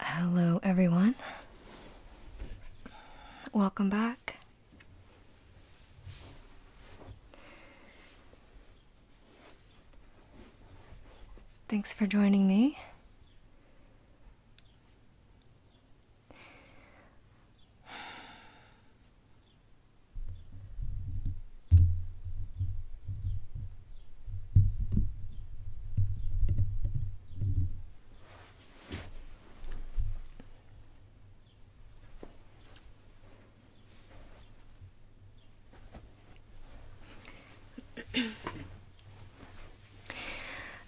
Hello, everyone. Welcome back. Thanks for joining me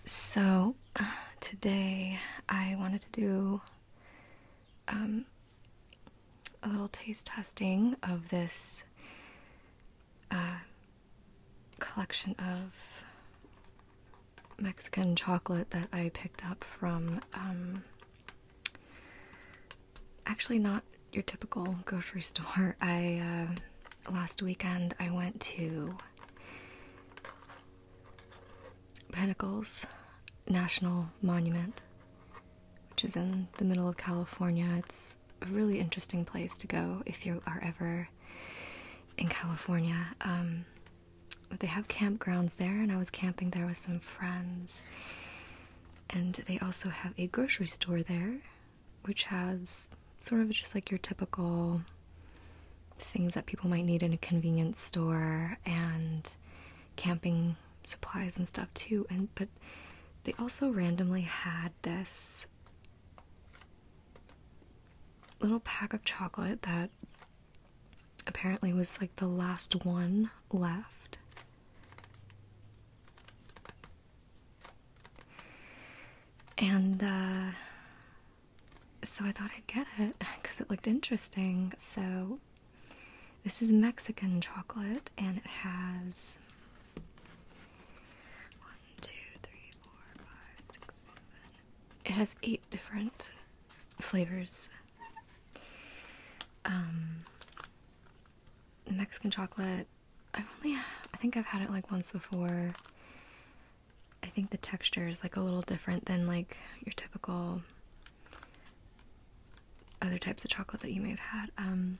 so, uh, today I wanted to do um, a little taste testing of this uh, collection of Mexican chocolate that I picked up from um, actually not your typical grocery store. I uh, last weekend I went to Pentacles National Monument which is in the middle of California. It's a really interesting place to go if you are ever in California. Um, they have campgrounds there, and I was camping there with some friends. And they also have a grocery store there, which has sort of just like your typical things that people might need in a convenience store and camping supplies and stuff too and but they also randomly had this little pack of chocolate that apparently was like the last one left. And uh, so I thought I'd get it because it looked interesting. So this is Mexican chocolate and it has one, two, three, four, five, six, seven. It has eight different flavors. Um, Mexican chocolate. I've only, I think I've had it like once before. I think the texture is like a little different than like your typical other types of chocolate that you may have had. Um,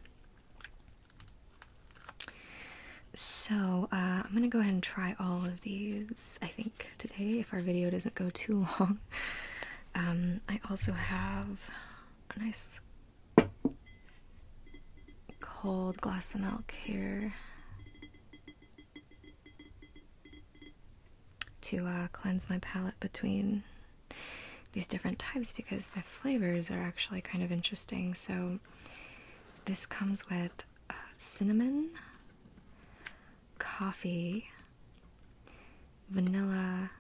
so, uh, I'm gonna go ahead and try all of these, I think, today if our video doesn't go too long. Um, I also have a nice cold glass of milk here to uh, cleanse my palate between these different types because the flavors are actually kind of interesting. So, this comes with uh, cinnamon, coffee, vanilla.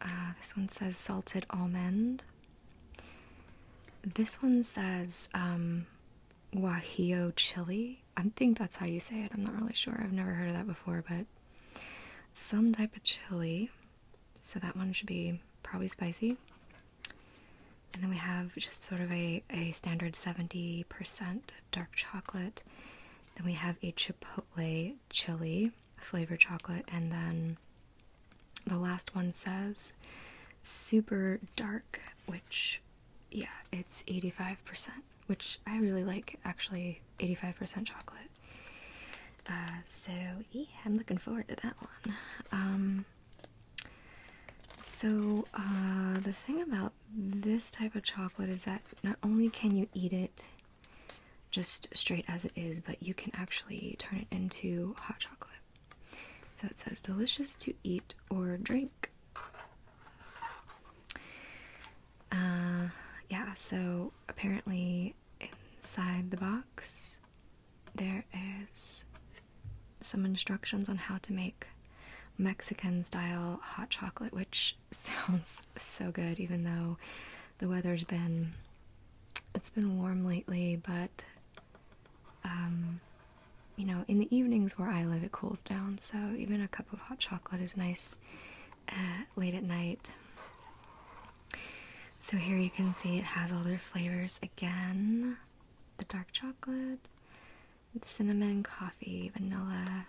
Uh, this one says salted almond. This one says um, chili. I think that's how you say it. I'm not really sure. I've never heard of that before, but some type of chili so that one should be probably spicy. And then we have just sort of a, a standard 70% dark chocolate. Then we have a chipotle chili flavored chocolate. And then the last one says super dark, which, yeah, it's 85%, which I really like actually. 85% chocolate. Uh, so yeah, I'm looking forward to that one. Um, so uh, the thing about this type of chocolate is that not only can you eat it just straight as it is, but you can actually turn it into hot chocolate. So it says delicious to eat or drink. Uh, yeah, so apparently Inside the box, there is some instructions on how to make Mexican style hot chocolate, which sounds so good, even though the weather's been it's been warm lately, but um, you know, in the evenings where I live, it cools down, so even a cup of hot chocolate is nice uh, late at night. So here you can see it has all their flavors again the dark chocolate, cinnamon, coffee, vanilla,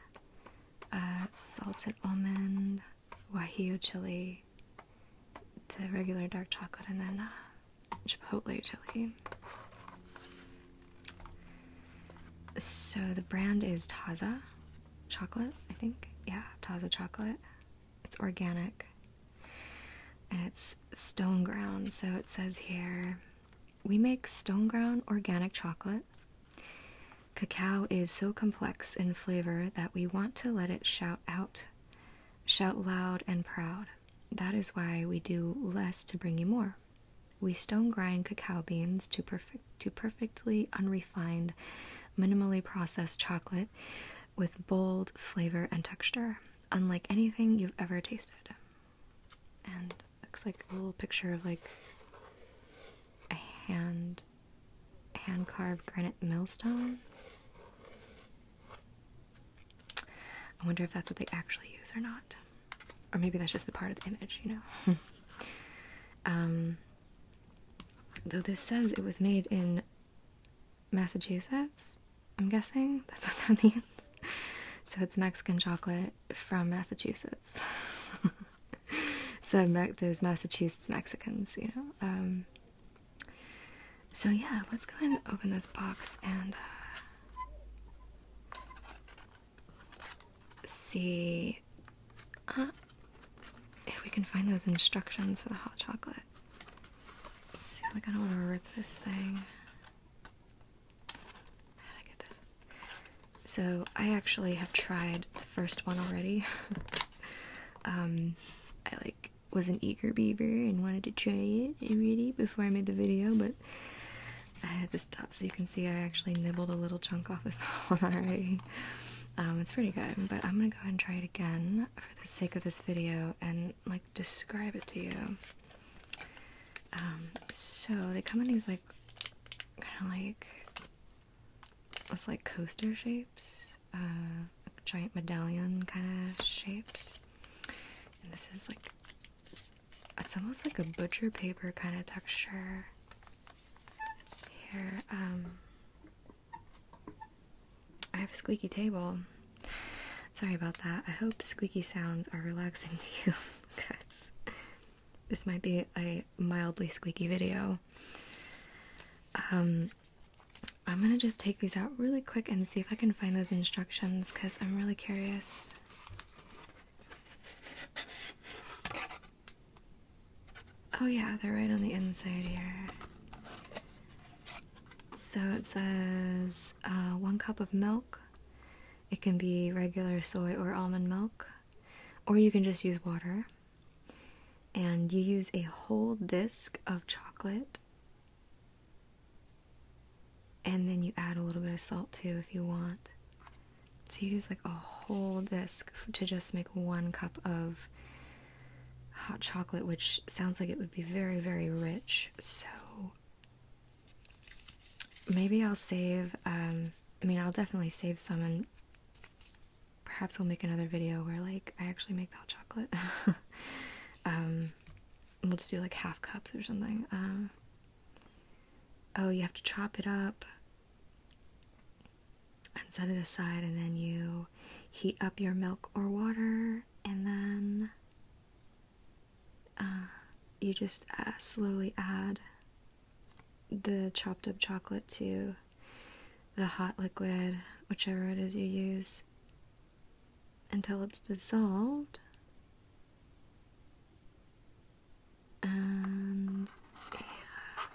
uh, salted almond, wahio chili, the regular dark chocolate, and then uh, chipotle chili. So the brand is Taza chocolate, I think. Yeah, Taza chocolate it's organic and it's stone ground. So it says here we make stone ground organic chocolate. Cacao is so complex in flavor that we want to let it shout out, shout loud and proud. That is why we do less to bring you more. We stone grind cacao beans to perfect to perfectly unrefined, minimally processed chocolate with bold flavor and texture, unlike anything you've ever tasted. And looks like a little picture of like a hand hand carved granite millstone. I wonder if that's what they actually use or not. Or maybe that's just a part of the image, you know. um, though this says it was made in Massachusetts, I'm guessing that's what that means. So it's Mexican chocolate from Massachusetts. so Me there's Massachusetts Mexicans, you know. Um, so yeah, let's go ahead and open this box and uh, see uh, if we can find those instructions for the hot chocolate. Seems like I don't want to rip this thing. How did I get this? So I actually have tried the first one already. um, I like was an eager beaver and wanted to try it already before I made the video, but I had to stop. So you can see I actually nibbled a little chunk off this one already. Um, it's pretty good, but I'm gonna go ahead and try it again for for the sake of this video and like describe it to you. Um, so they come in these like kind of like it's like coaster shapes, uh, giant medallion kind of shapes, and this is like it's almost like a butcher paper kind of texture here. Um, I have a squeaky table. Sorry about that. I hope squeaky sounds are relaxing to you because this might be a mildly squeaky video. Um, I'm gonna just take these out really quick and see if I can find those instructions because I'm really curious. Oh, yeah, they're right on the inside here. So it says uh, one cup of milk. It can be regular soy or almond milk, or you can just use water. And you use a whole disc of chocolate. And then you add a little bit of salt too if you want. So you use like a whole disc to just make one cup of hot chocolate, which sounds like it would be very, very rich. So maybe I'll save, um, I mean, I'll definitely save some and perhaps we'll make another video where like I actually make the hot chocolate. Um, we'll just do like half cups or something. Uh, oh, you have to chop it up and set it aside and then you heat up your milk or water and then uh, you just uh, slowly add the chopped up chocolate to the hot liquid, whichever it is you use, until it's dissolved. And yeah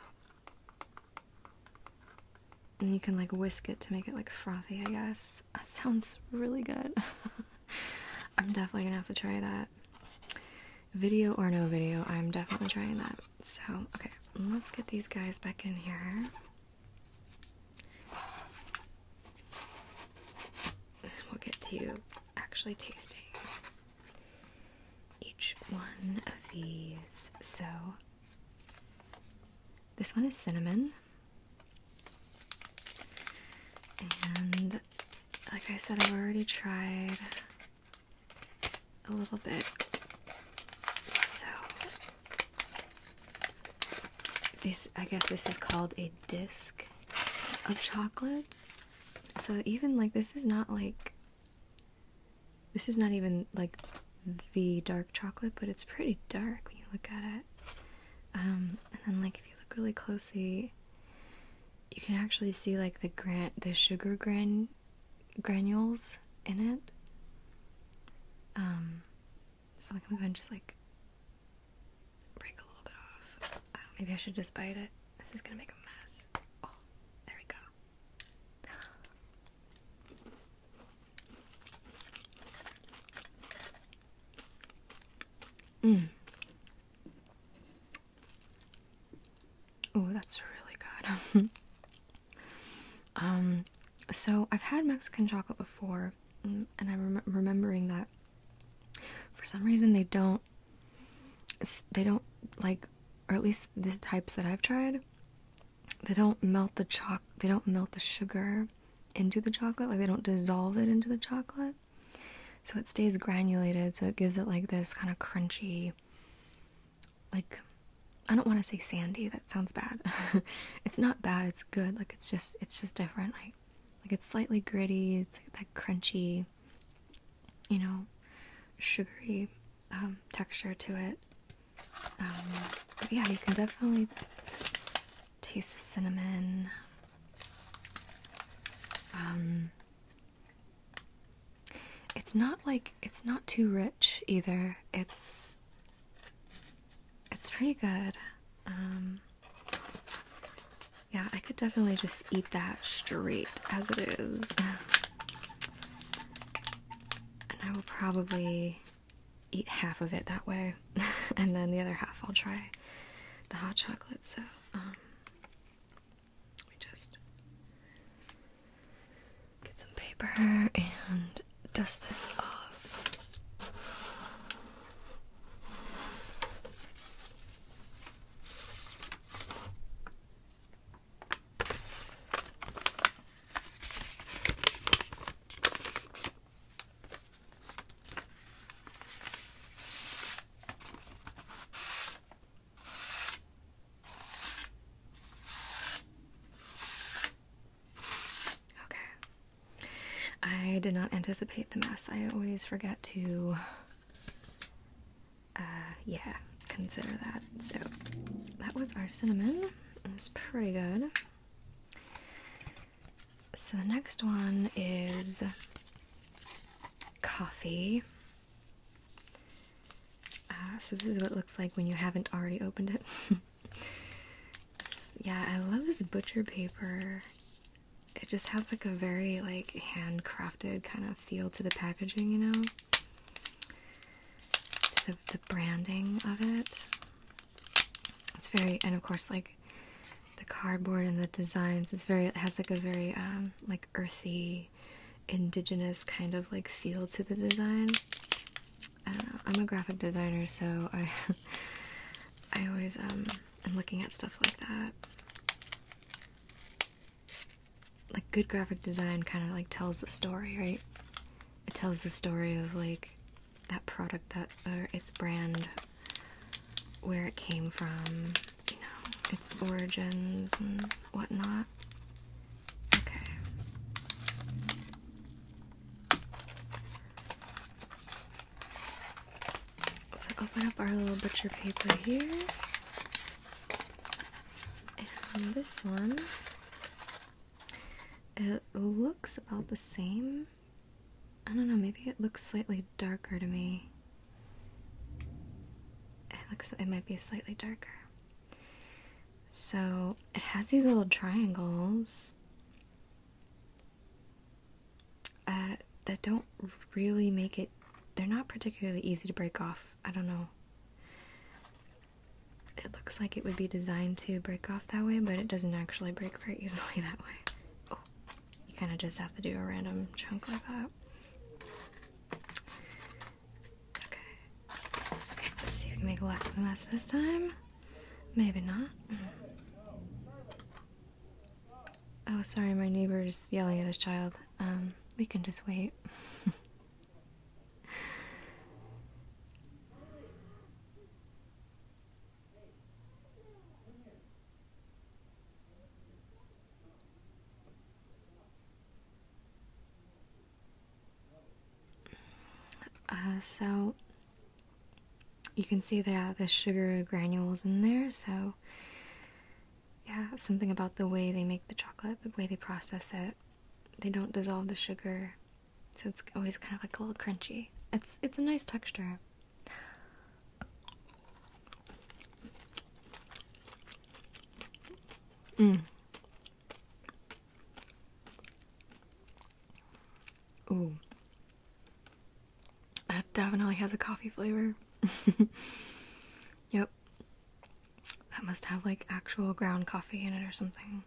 and you can like whisk it to make it like frothy i guess that sounds really good i'm definitely gonna have to try that video or no video i'm definitely trying that so okay let's get these guys back in here we'll get to actually tasting each one of these so this one is cinnamon. And like I said, I've already tried a little bit. So this I guess this is called a disc of chocolate. So even like this is not like this is not even like the dark chocolate, but it's pretty dark when you look at it. Um, and then, like, if you look really closely, you can actually see like the gran the sugar gran granules in it. Um, so like I'm gonna go and just like break a little bit off. maybe I should just bite it. This is gonna make a mess. Oh, there we go. Mm. Oh, that's really good. um, so I've had Mexican chocolate before, mm, and I'm remembering that for some reason they don't, they don't like, or at least the types that I've tried, they don't melt the choc they don't melt the sugar into the chocolate like they don't dissolve it into the chocolate so it stays granulated so it gives it like this kind of crunchy like i don't want to say sandy that sounds bad it's not bad it's good like it's just it's just different like like it's slightly gritty it's like that crunchy you know sugary um, texture to it um, yeah, you can definitely taste the cinnamon. Um, it's not like it's not too rich either. It's it's pretty good. Um, yeah, I could definitely just eat that straight as it is. And I will probably eat half of it that way, and then the other half I'll try the hot chocolate. So, um, just get some paper and dust this off. Okay. I did not anticipate the mess. I always forget to, uh, yeah, consider that. So that was our cinnamon. It was pretty good. So the next one is coffee. Uh, so this is what it looks like when you haven't already opened it. yeah, I love this butcher paper. It just has like a very like handcrafted kind of feel to the packaging, you know. the branding of it. It's very, and of course, like the cardboard and the designs. It's very, it has like a very um, like earthy, indigenous kind of like feel to the design. I don't know. I'm a graphic designer, so I, I always um, am looking at stuff like that. Like good graphic design kind of like tells the story, right? It tells the story of like that product that or its brand where it came from, you know, its origins and whatnot. Okay. So open up our little butcher paper here. And this one it looks about the same. I don't know, maybe it looks slightly darker to me. It looks it might be slightly darker. So it has these little triangles uh, that don't really make it, they're not particularly easy to break off. I don't know it looks like it would be designed to break off that way, but it doesn't actually break very easily that way. Oh, you kind of just have to do a random chunk like that. Okay, let's see if we can make less of a mess this time. Maybe not. Oh, sorry, my neighbor's yelling at his child. Um, we can just wait. Uh, so you can see that the sugar granules in there so yeah something about the way they make the chocolate the way they process it they don't dissolve the sugar so it's always kind of like a little crunchy. It's it's a nice texture. Mm. Ooh. That definitely has a coffee flavor. yep. That must have like actual ground coffee in it or something.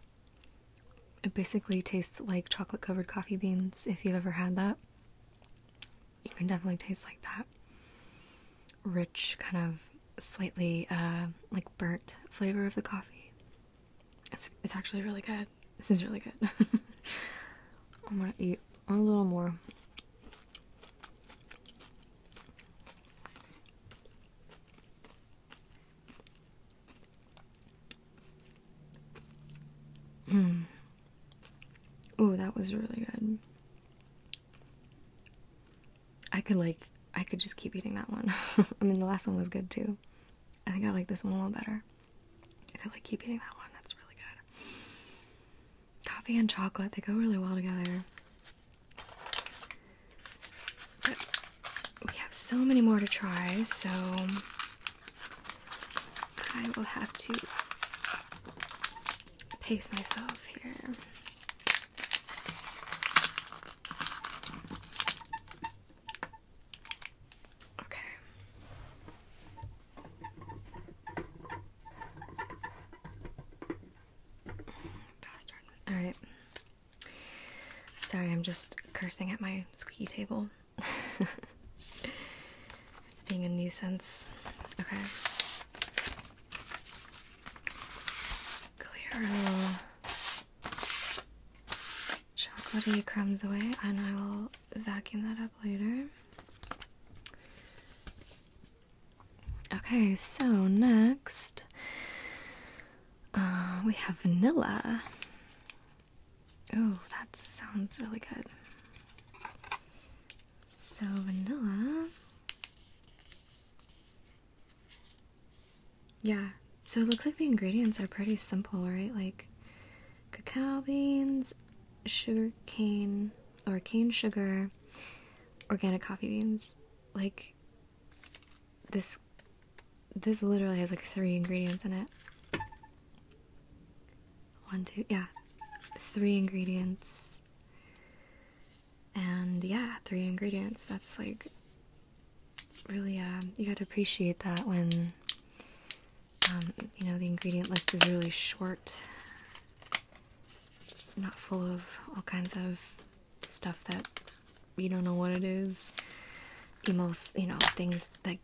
It basically tastes like chocolate covered coffee beans if you've ever had that. You can definitely taste like that. Rich, kind of slightly uh, like burnt flavor of the coffee. It's, it's actually really good. This is really good. I'm gonna eat a little more. Mm. Oh, that was really good. I could like I could just keep eating that one. I mean, the last one was good too. I think I like this one a little better. I could like keep eating that one. That's really good. Coffee and chocolate, they go really well together we have so many more to try, so I will have to pace myself here. Okay. Bastard. All right. Sorry, I'm just cursing at my squeaky table. it's being a nuisance. Okay. Clear chocolatey crumbs away, and I will vacuum that up later. Okay, so next uh, we have vanilla. Oh, that sounds really good. So, vanilla. Yeah, so it looks like the ingredients are pretty simple, right? Like cacao beans, sugar cane, or cane sugar, organic coffee beans. Like, this this literally has like three ingredients in it. One, two, yeah. Three ingredients. And yeah, three ingredients. That's like really, uh, you gotta appreciate that when, um, you know, the ingredient list is really short. Not full of all kinds of stuff that you don't know what it is. Emos, you know, things that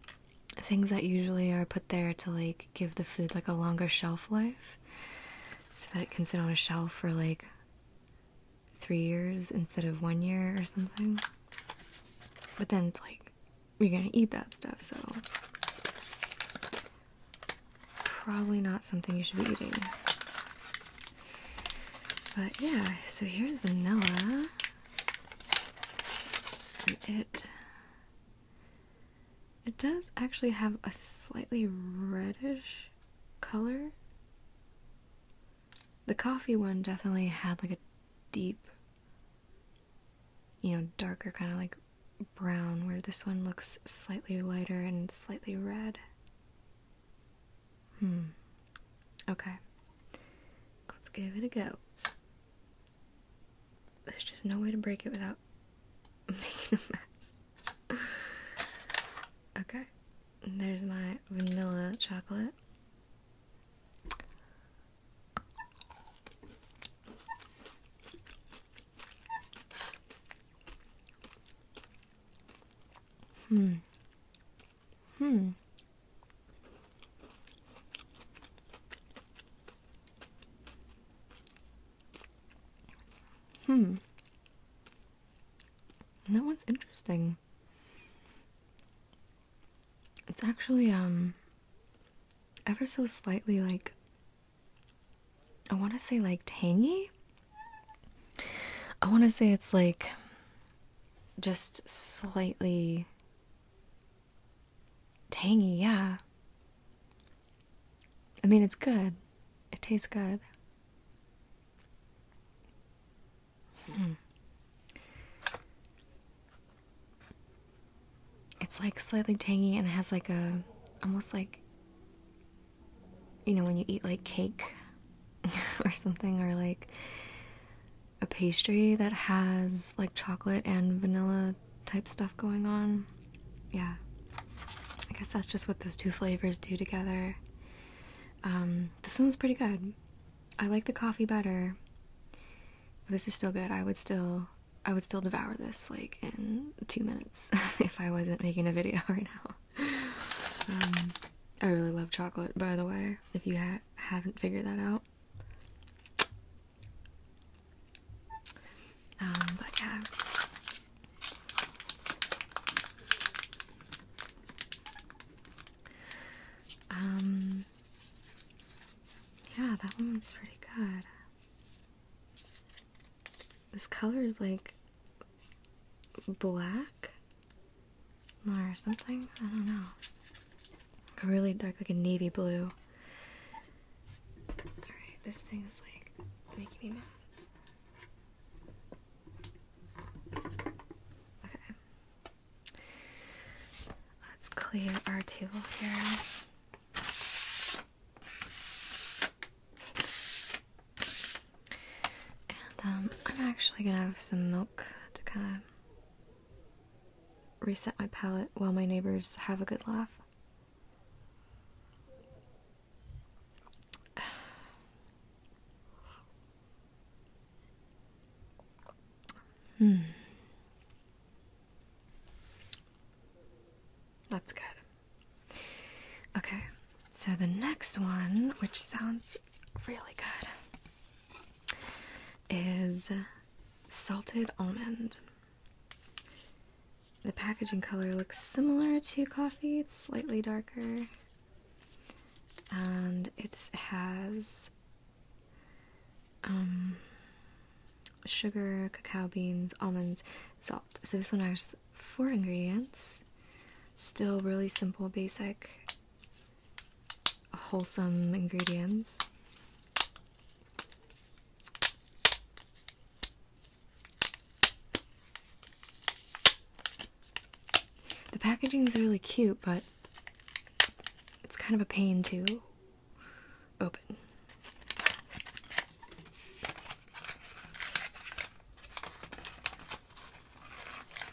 things that usually are put there to like give the food like a longer shelf life so that it can sit on a shelf for like three years instead of one year or something. But then it's like you're gonna eat that stuff, so probably not something you should be eating. But yeah, so here's vanilla. And it it does actually have a slightly reddish color. The coffee one definitely had like a deep you know, darker kind of like brown where this one looks slightly lighter and slightly red. Hmm. Okay. Let's give it a go. There's just no way to break it without making a mess. Okay. There's my vanilla chocolate. Hmm. Hmm. Hmm. That one's interesting. It's actually, um, ever so slightly like, I want to say like tangy. I want to say it's like just slightly tangy, yeah. I mean, it's good. It tastes good. Hmm. It's like slightly tangy and it has like a almost like you know when you eat like cake or something or like a pastry that has like chocolate and vanilla type stuff going on. Yeah. I guess that's just what those two flavors do together. Um, this one's pretty good. I like the coffee better. But this is still good. I would still I would still devour this like in two minutes if I wasn't making a video right now. Um, I really love chocolate, by the way, if you haven't figured that out. Um, but yeah. Um, yeah, that one was pretty good. This color is like black or something. I don't know really dark, like a navy blue. Alright, this thing is like making me mad. Okay. Let's clear our table here. And um, I'm actually gonna have some milk to kind of reset my palate while my neighbors have a good laugh. hmm. That's good. Okay, so the next one, which sounds really good, is salted almond. The packaging color looks similar to coffee, it's slightly darker. And it has um, sugar, cacao beans, almonds, salt. So this one has four ingredients. Still really simple, basic wholesome ingredients. The packaging is really cute, but it's kind of a pain to open.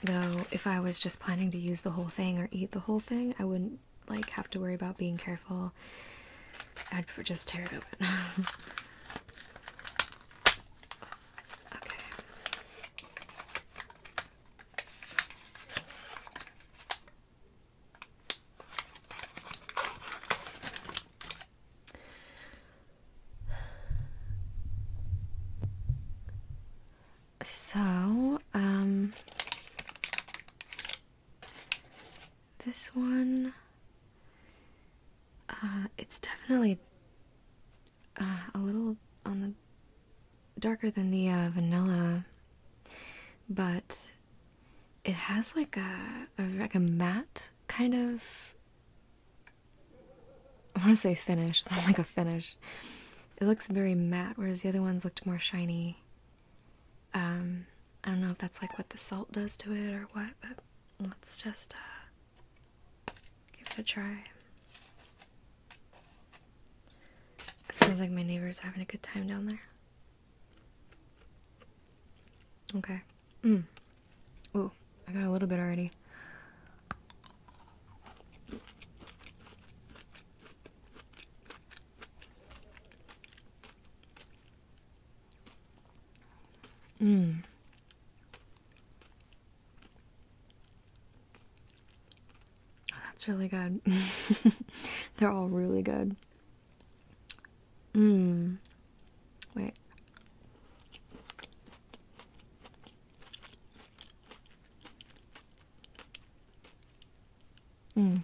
Though, if I was just planning to use the whole thing or eat the whole thing, I wouldn't like have to worry about being careful. I'd just tear it open. okay. So, um, this one, uh, it's definitely uh, a little on the darker than the uh, vanilla, but it has like a, like a matte kind of. I want to say finish. It's like a finish. It looks very matte, whereas the other ones looked more shiny. Um, I don't know if that's like what the salt does to it or what, but let's just uh, give it a try. sounds like my neighbor's having a good time down there. Okay. Mm. Ooh, I got a little bit already. Mm. Oh, that's really good. They're all really good. Mmm. Wait. Mm.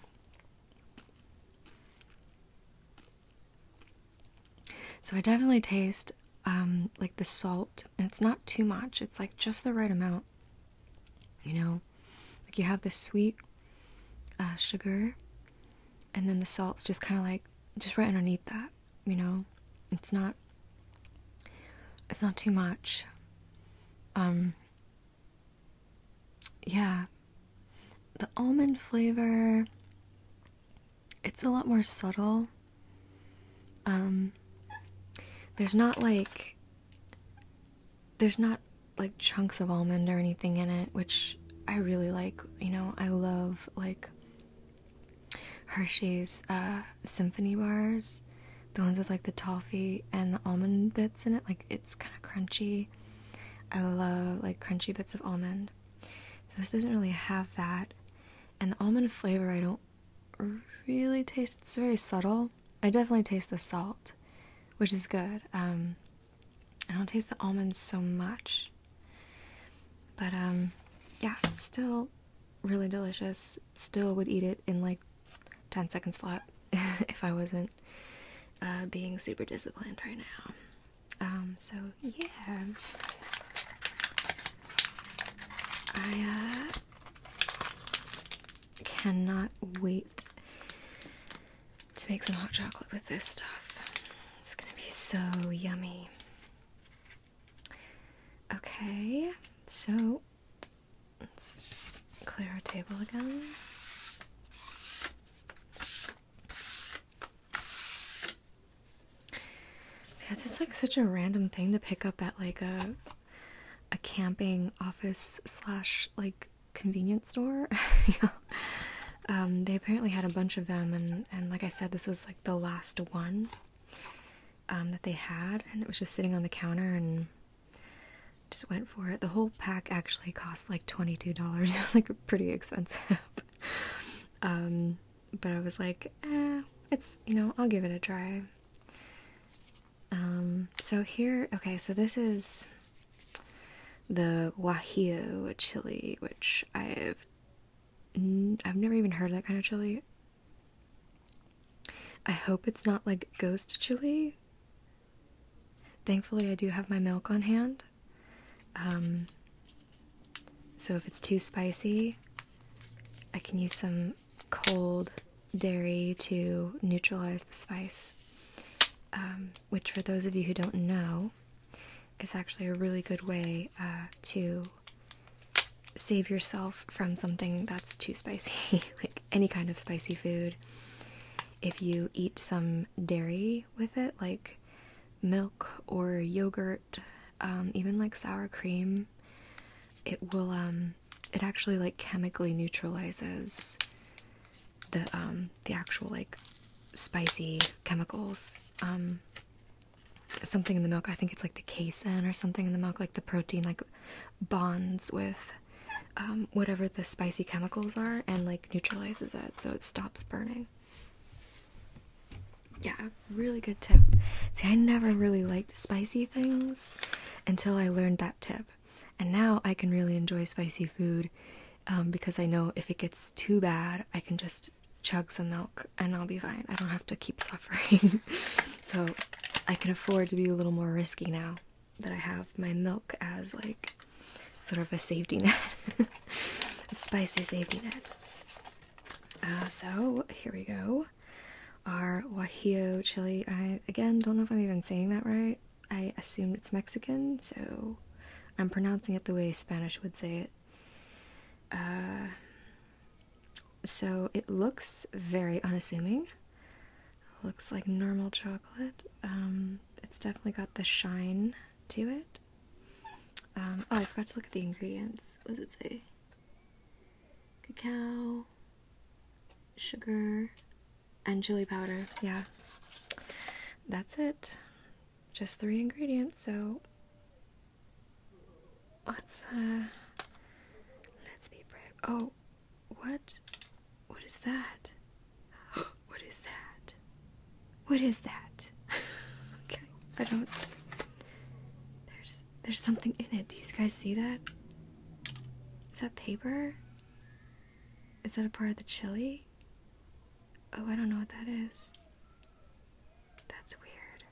So I definitely taste um, like the salt, and it's not too much. It's like just the right amount. You know, like you have the sweet uh, sugar, and then the salt's just kind of like just right underneath that. You know, it's not. It's not too much. Um, yeah, the almond flavor, it's a lot more subtle. Um, there's not like, there's not like chunks of almond or anything in it, which I really like. You know, I love like Hershey's uh, symphony bars, the ones with like the toffee and the almond bits in it. Like it's kind of crunchy. I love like crunchy bits of almond. So this doesn't really have that. And the almond flavor, I don't really taste. It's very subtle. I definitely taste the salt, which is good. Um, I don't taste the almonds so much. But um, yeah, still really delicious. Still would eat it in like 10 seconds flat if I wasn't uh, being super disciplined right now. Um, so yeah, I uh, cannot wait to make some hot chocolate with this stuff. It's gonna be so yummy. Okay, so Let's clear our table again. So yeah, it's just like such a random thing to pick up at like a a camping office slash like convenience store. Um, they apparently had a bunch of them and, and like I said, this was like the last one um, that they had and it was just sitting on the counter and just went for it. The whole pack actually cost like $22. It was like pretty expensive. Um, but I was like, eh, it's, you know, I'll give it a try. Um, so here, okay, so this is the guajillo chili, which I've I've never even heard that kind of chili. I hope it's not like ghost chili. Thankfully, I do have my milk on hand. Um, so if it's too spicy, I can use some cold dairy to neutralize the spice. Um, which, for those of you who don't know, is actually a really good way uh, to save yourself from something that's too spicy, like any kind of spicy food if you eat some dairy with it, like milk or yogurt, um, even like sour cream, it will um, it actually like chemically neutralizes the um the actual like spicy chemicals. Um something in the milk, I think it's like the casein or something in the milk, like the protein like bonds with um, whatever the spicy chemicals are and like neutralizes it so it stops burning. Yeah, really good tip. See, I never really liked spicy things until I learned that tip. And now I can really enjoy spicy food um, because I know if it gets too bad, I can just chug some milk and I'll be fine. I don't have to keep suffering. so I can afford to be a little more risky now that I have my milk as like sort of a safety net, spicy safety net. Uh, so here we go. Our Wajillo chili. I again don't know if I'm even saying that right. I assumed it's Mexican, so I'm pronouncing it the way Spanish would say it. Uh, so it looks very unassuming. Looks like normal chocolate. Um, it's definitely got the shine to it. Um, oh, I forgot to look at the ingredients. What does it say? Cacao, sugar, and chili powder. Yeah, that's it. Just three ingredients. So let's uh, let's be brave. Oh, what? What is that? What is that? What is that? okay, I don't. There's there's something in it. Do you guys see that? Is that paper? Is that a part of the chili? Oh, I don't know what that is. That's weird.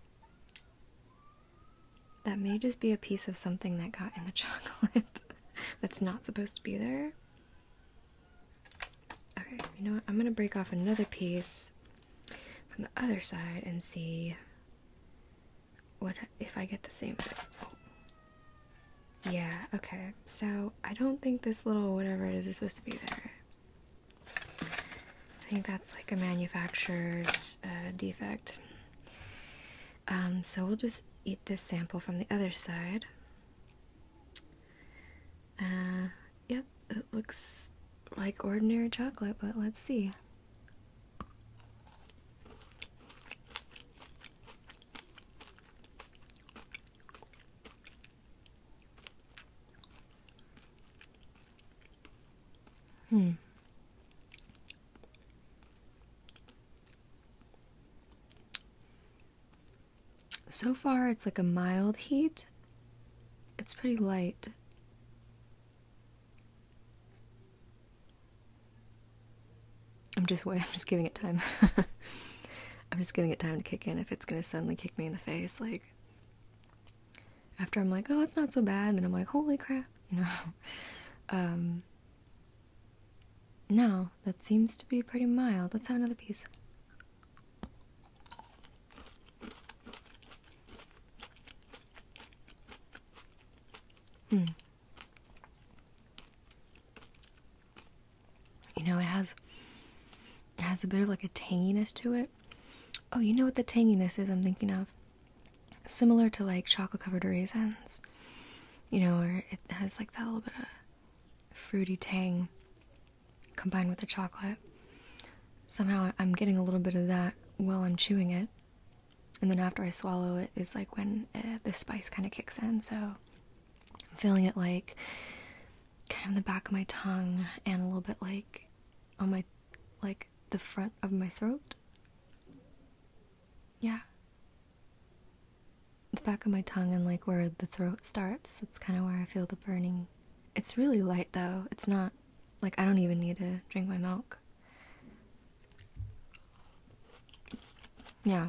That may just be a piece of something that got in the chocolate that's not supposed to be there. Okay, you know what? I'm gonna break off another piece from the other side and see what if I get the same thing. Yeah, okay. So I don't think this little whatever it is is supposed to be there. I think that's like a manufacturer's uh, defect. Um, so we'll just eat this sample from the other side. Uh, yep, it looks like ordinary chocolate, but let's see. Hmm. So far, it's like a mild heat. It's pretty light. I'm just wait. I'm just giving it time. I'm just giving it time to kick in. If it's gonna suddenly kick me in the face, like after I'm like, oh, it's not so bad, then I'm like, holy crap, you know. Um, now, that seems to be pretty mild. Let's have another piece. Hmm. You know, it has it has a bit of like a tanginess to it. Oh, you know what the tanginess is I'm thinking of? Similar to like chocolate covered raisins. You know, where it has like that little bit of fruity tang combined with the chocolate. Somehow I'm getting a little bit of that while I'm chewing it. And then after I swallow it is like when eh, the spice kind of kicks in. So I'm feeling it like kind of the back of my tongue and a little bit like on my like the front of my throat. Yeah the back of my tongue and like where the throat starts. That's kind of where I feel the burning. It's really light though. It's not like I don't even need to drink my milk. Yeah.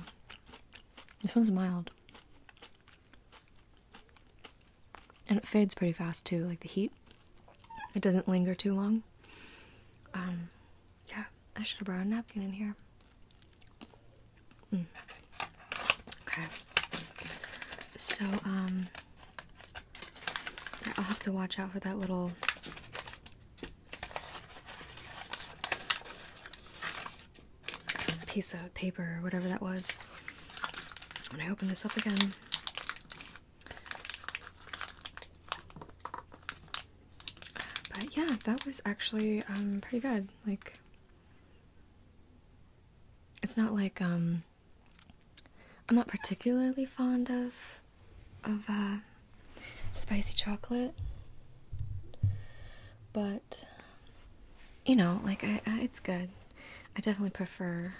This one's mild. And it fades pretty fast too, like the heat. It doesn't linger too long. Um, yeah, I should have brought a napkin in here. Mm. Okay. So, um, I'll have to watch out for that little. Piece of paper or whatever that was. When I open this up again, but yeah, that was actually um, pretty good. Like, it's not like um, I'm not particularly fond of of uh, spicy chocolate. But you know, like I, it's good. I definitely prefer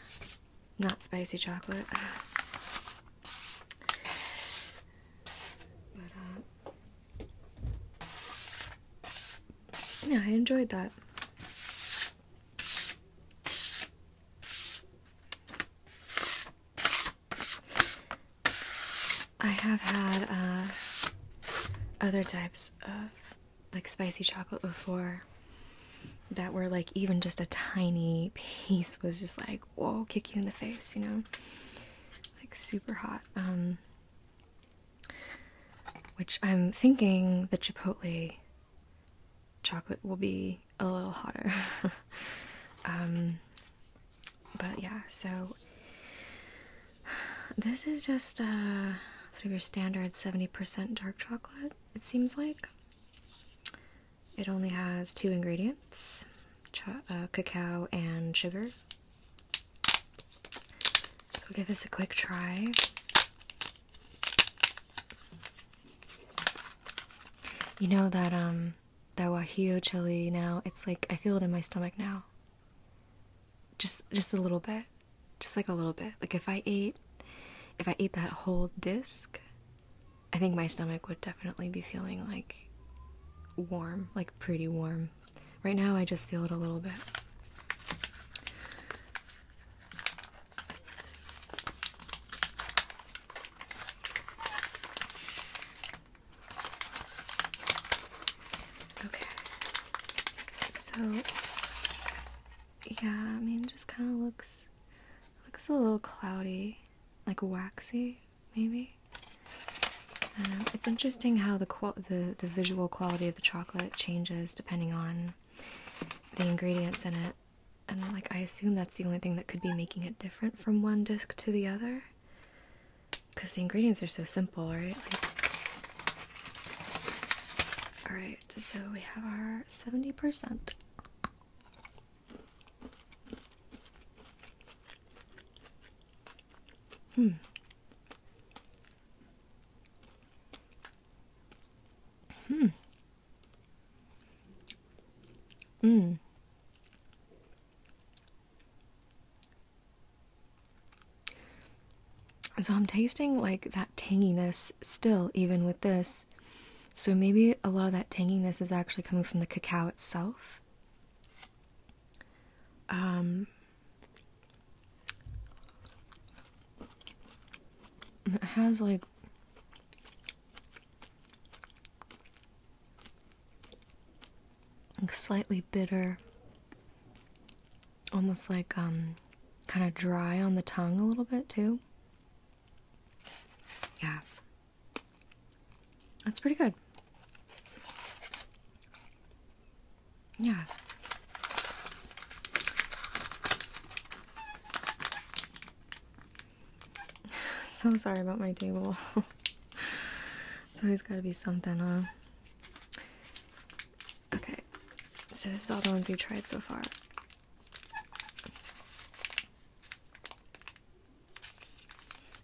not spicy chocolate. Uh, yeah, I enjoyed that. I have had uh, other types of like spicy chocolate before that were like even just a tiny piece was just like whoa kick you in the face you know like super hot um which I'm thinking the Chipotle chocolate will be a little hotter. Um, but yeah, so this is just uh, sort of your standard 70% dark chocolate, it seems like. It only has two ingredients uh, cacao and sugar, so we'll give this a quick try. You know that um that wajillo chili now, it's like I feel it in my stomach now. Just just a little bit. Just like a little bit. Like if I ate if I ate that whole disc, I think my stomach would definitely be feeling like warm, like pretty warm. Right now, I just feel it a little bit. Okay. So yeah, I mean just kind of looks looks a little cloudy, like waxy, maybe. Um, it's interesting how the, the the visual quality of the chocolate changes depending on the ingredients in it, and like I assume that's the only thing that could be making it different from one disc to the other, because the ingredients are so simple, right? all right, so we have our seventy percent. Hmm. Hmm. Mm. So I'm tasting like that tanginess still, even with this. So maybe a lot of that tanginess is actually coming from the cacao itself. Um, it has like slightly bitter almost like um kind of dry on the tongue a little bit too yeah that's pretty good yeah. so sorry about my table. it's always gotta be something, huh? Okay, so this is all the ones we tried so far.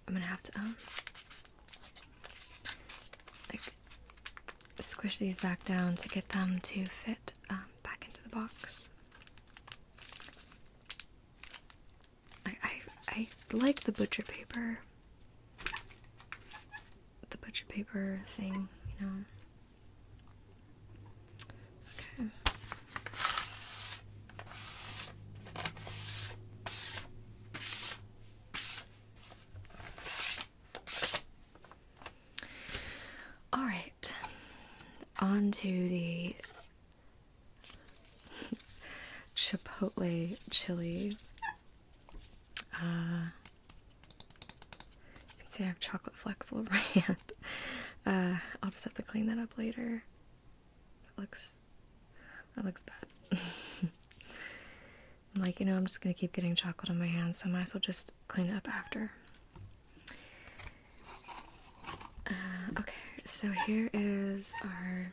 I'm gonna have to, um, like squish these back down to get them to fit um, back into the box. I, I I like the butcher paper, the butcher paper thing, you know. Okay. All right, on to the chipotle chili. Uh, you can see I have chocolate flecks all over my hand. I'll just have to clean that up later. That looks, that looks bad. I'm like, you know, I'm just gonna keep getting chocolate on my hands, so I might as well just clean it up after. Uh, okay, so here is our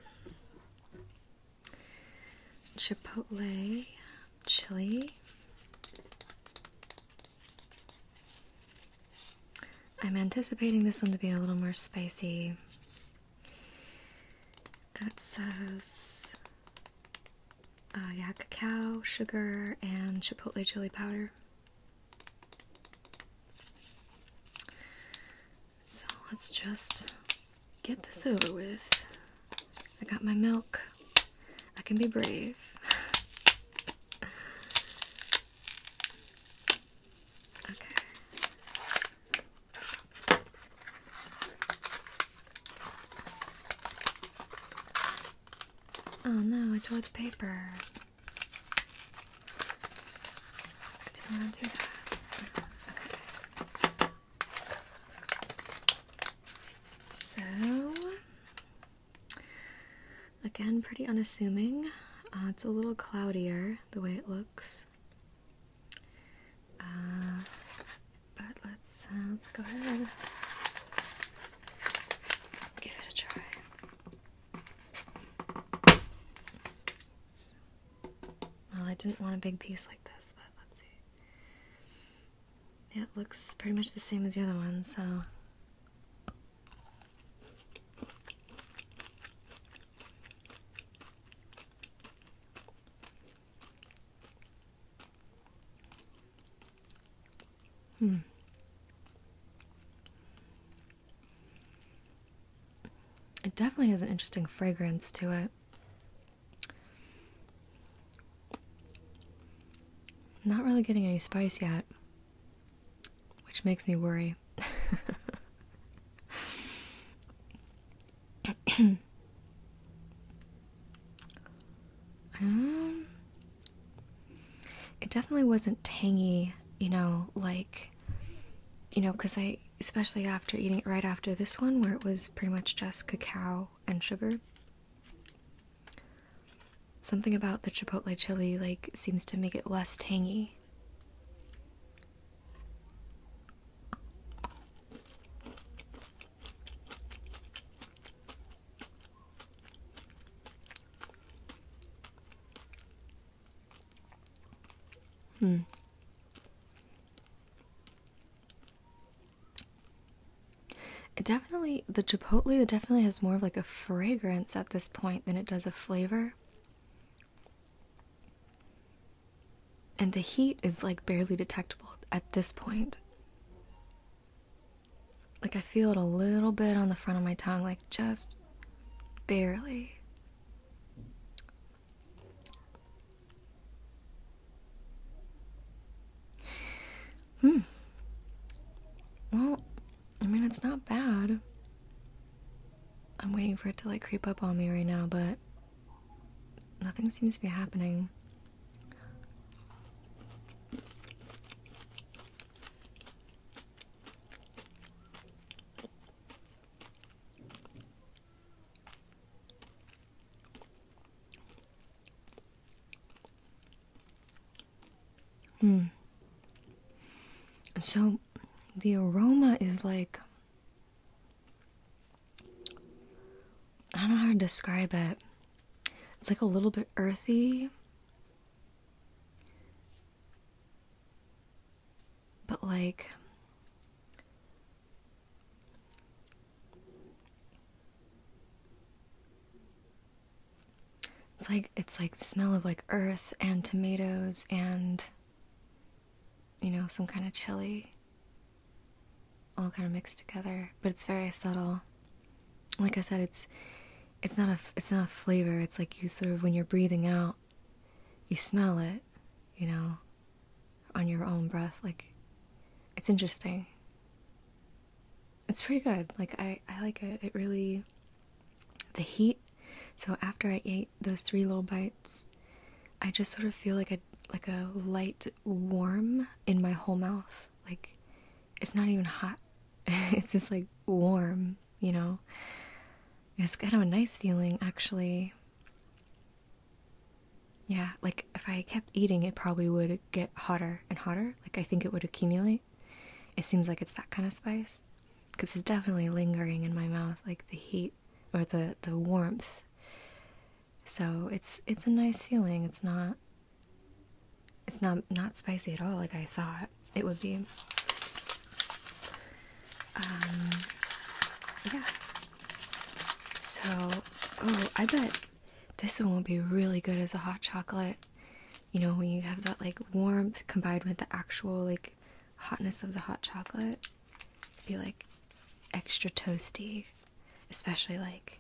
chipotle chili. I'm anticipating this one to be a little more spicy. It says uh, yeah, cacao, sugar, and chipotle chili powder. So let's just get this over with. I got my milk. I can be brave. okay. Oh no, I tore the paper. So, again, pretty unassuming. Uh, it's a little cloudier the way it looks. Uh, but let's uh, let's go ahead give it a try. Well, I didn't want a big piece like this, but let's see. Yeah, it looks pretty much the same as the other one, so. Hmm. It definitely has an interesting fragrance to it. not really getting any spice yet, which makes me worry. Um, it definitely wasn't tangy, you know, like, you know, because I, especially after eating it right after this one, where it was pretty much just cacao and sugar. Something about the chipotle chili, like, seems to make it less tangy. Hmm. definitely, the chipotle definitely has more of like a fragrance at this point than it does a flavor and the heat is like barely detectable at this point. Like I feel it a little bit on the front of my tongue, like just barely. Hmm. Well, I mean, it's not bad. I'm waiting for it to like creep up on me right now, but nothing seems to be happening. Hmm. So the aroma is like I don't know how to describe it. It's like a little bit earthy, but like it's like it's like the smell of like earth and tomatoes and you know some kind of chili all kind of mixed together, but it's very subtle. Like I said, it's it's not a it's not a flavor. It's like you sort of when you're breathing out, you smell it, you know, on your own breath. Like it's interesting. It's pretty good. Like I I like it. It really the heat. So after I ate those three little bites, I just sort of feel like a like a light warm in my whole mouth like, it's not even hot, it's just like warm, you know? It's kind of a nice feeling, actually. Yeah, like if I kept eating, it probably would get hotter and hotter. Like, I think it would accumulate. It seems like it's that kind of spice because it's definitely lingering in my mouth, like the heat or the, the warmth so it's it's a nice feeling. It's not it's not not spicy at all like I thought it would be. Um yeah. So oh I bet this one will be really good as a hot chocolate. You know, when you have that like warmth combined with the actual like hotness of the hot chocolate, be like extra toasty, especially like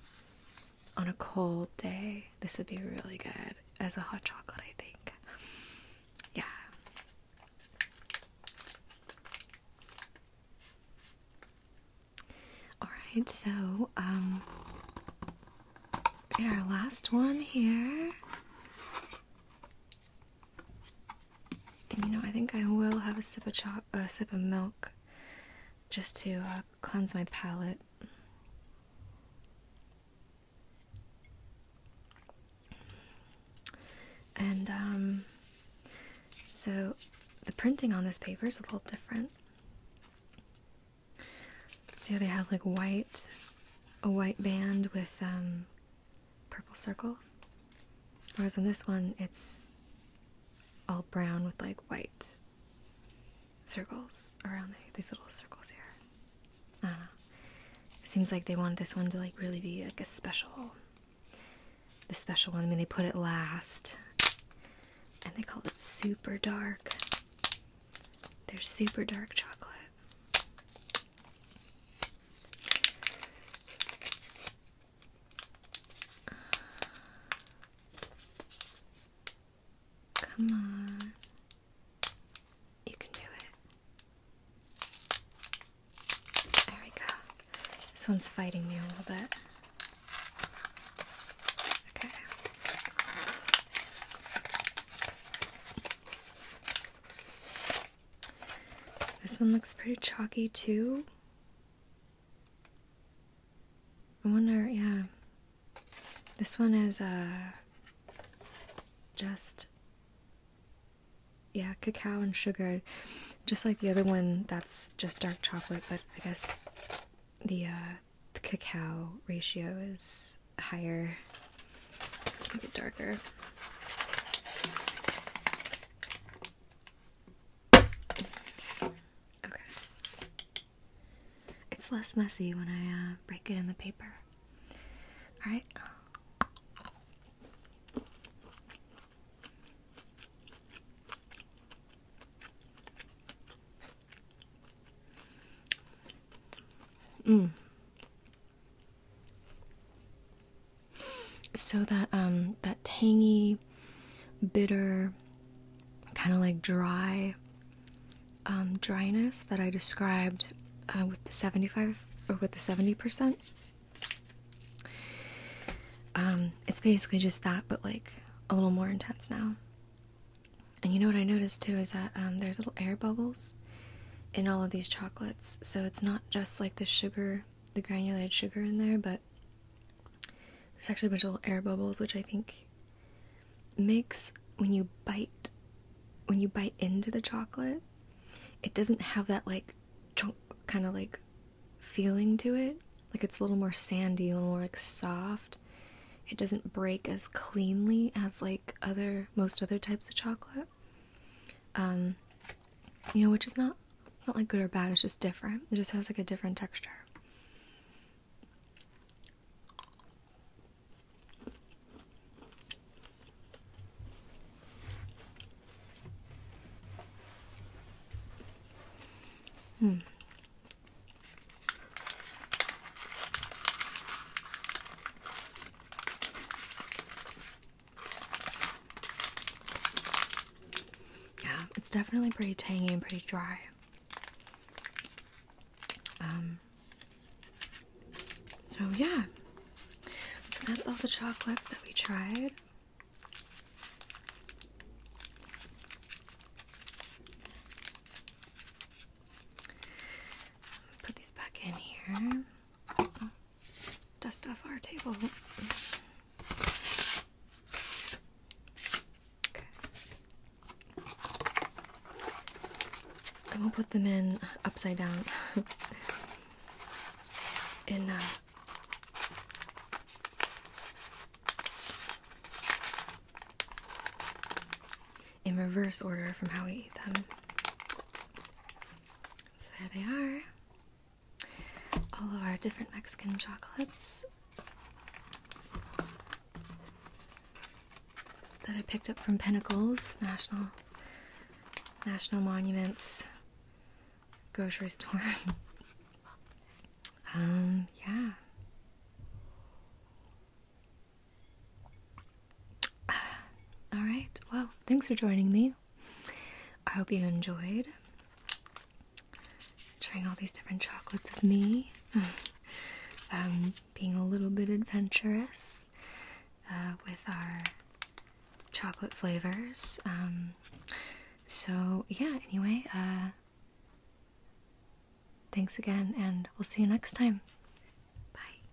on a cold day, this would be really good as a hot chocolate, I think. Yeah. Alright, so, um, and our last one here. And you know, I think I will have a sip of, a sip of milk just to uh, cleanse my palette, And um, so the printing on this paper is a little different. See how they have like white, a white band with um, purple circles? Whereas on this one, it's all brown with like white circles around these little circles here. I don't know. It seems like they wanted this one to like really be like a special, the special one. I mean, they put it last, and they called it super dark. They're super dark chocolate. Come on. You can do it. There we go. This one's fighting me a little bit. Okay. this one looks pretty chalky too. I wonder, yeah. This one is uh just yeah, cacao and sugar. Just like the other one, that's just dark chocolate, but I guess the uh, the cacao ratio is higher. Let's make it darker. Okay. It's less messy when I uh, break it in the paper. Alright? Mm. So that um that tangy bitter, kind of like dry um, dryness that I described uh, with the 75 or with the 70%. Um, it's basically just that, but like a little more intense now. And you know what I noticed too is that um, there's little air bubbles in all of these chocolates. So it's not just like the sugar, the granulated sugar in there, but there's actually a bunch of little air bubbles, which I think Mix when you bite when you bite into the chocolate it doesn't have that like chunk kind of like feeling to it like it's a little more sandy a little more like soft it doesn't break as cleanly as like other most other types of chocolate um you know which is not not like good or bad it's just different it just has like a different texture Mm. Yeah, it's definitely pretty tangy and pretty dry. Um, so yeah, so that's all the chocolates that we tried. Put these back in here. dust off our table. Okay. I will put them in upside down in uh, in reverse order from how we eat them. So there they are. All of our different Mexican chocolates that I picked up from Pinnacles National National Monuments grocery store. um, yeah. all right. Well, thanks for joining me. I hope you enjoyed trying all these different chocolates with me, um, being a little bit adventurous uh, with our chocolate flavors. Um, so, yeah, anyway, uh, thanks again, and we'll see you next time. Bye.